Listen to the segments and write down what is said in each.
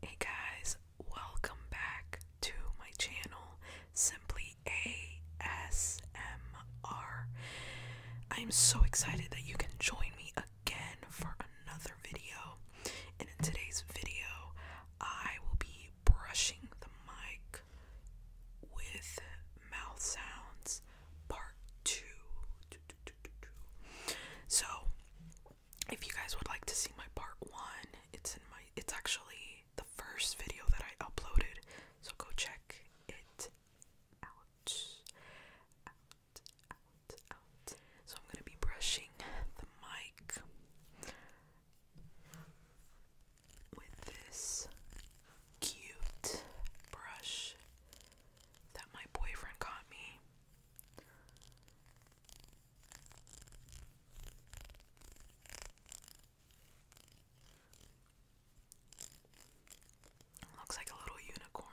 Hey guys, welcome back to my channel, Simply ASMR. I'm so excited that you can join me again for another video. And in today's video, I will be brushing the mic with mouth sounds part two. So, if you guys would like to see my part one, it's in my it's actually the first video that I uploaded, so go check it out. Out, out, out. So I'm gonna be brushing the mic with this cute brush that my boyfriend got me. Looks like a little unicorn.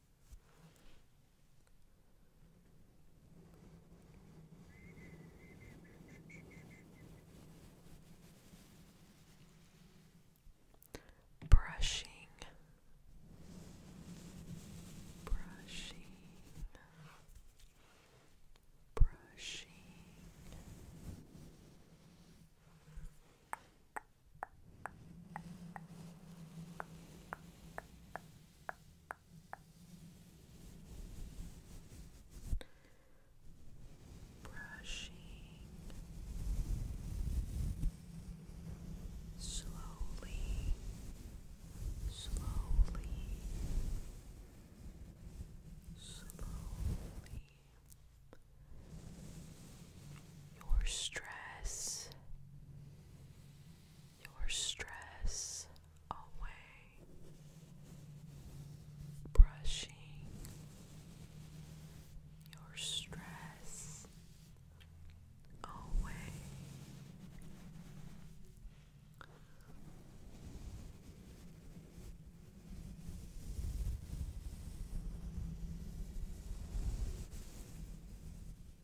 Brushing, brushing, brushing brushing slowly, slowly, slowly. Your stress your stress away, brushing your stress away.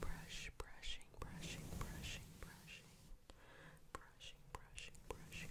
Brush, brushing, brushing, brushing, brushing, brushing, brushing, brushing.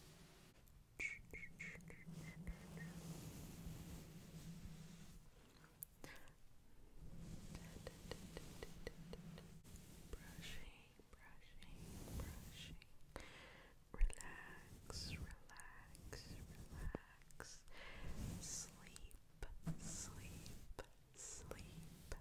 Brushing, brushing, brushing. Relax, relax, relax. Sleep, sleep, sleep,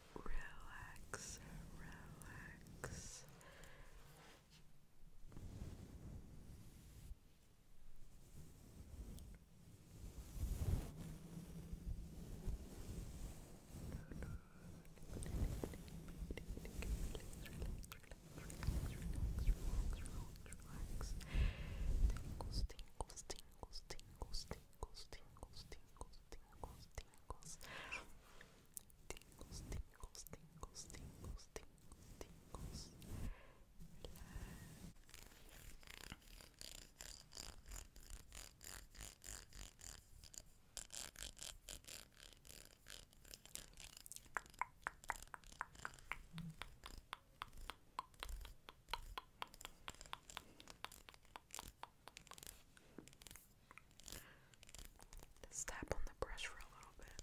relax, relax. Tingles, tingles, tingles, tingles, tingles, tingles, tingles, tingles, tingles. tingos, tingles, tingles, tingles, tingles, Let's tap on the brush for a little bit.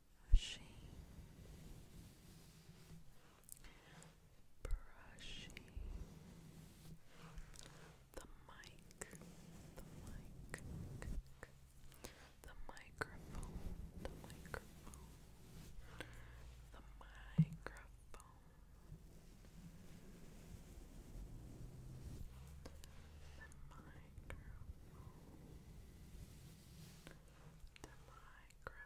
brushing, brushing the mic, the mic, the microphone, the microphone, the microphone. The microphone, the microphone.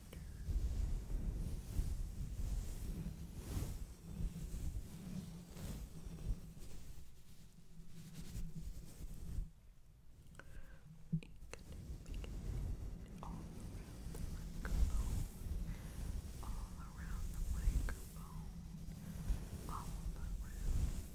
all around the microphone, all around the microphone, all around the microphone.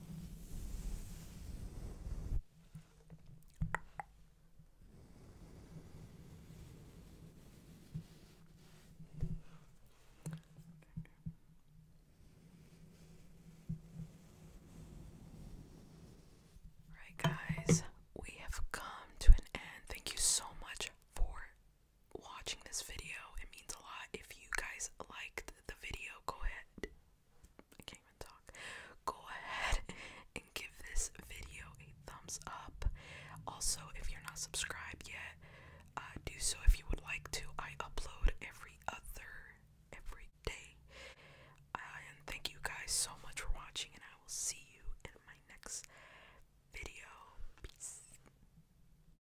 Right, guys, we have come to an end. Thank you so much for watching this video. It means a lot. If you guys liked the video, go ahead. I can't even talk. Go ahead and give this video a thumbs up. Also, if you're not subscribed yet, uh, do so if you would like to. I upload every other every day. Uh, and thank you guys so much for watching, and I will see you in my next video. Peace.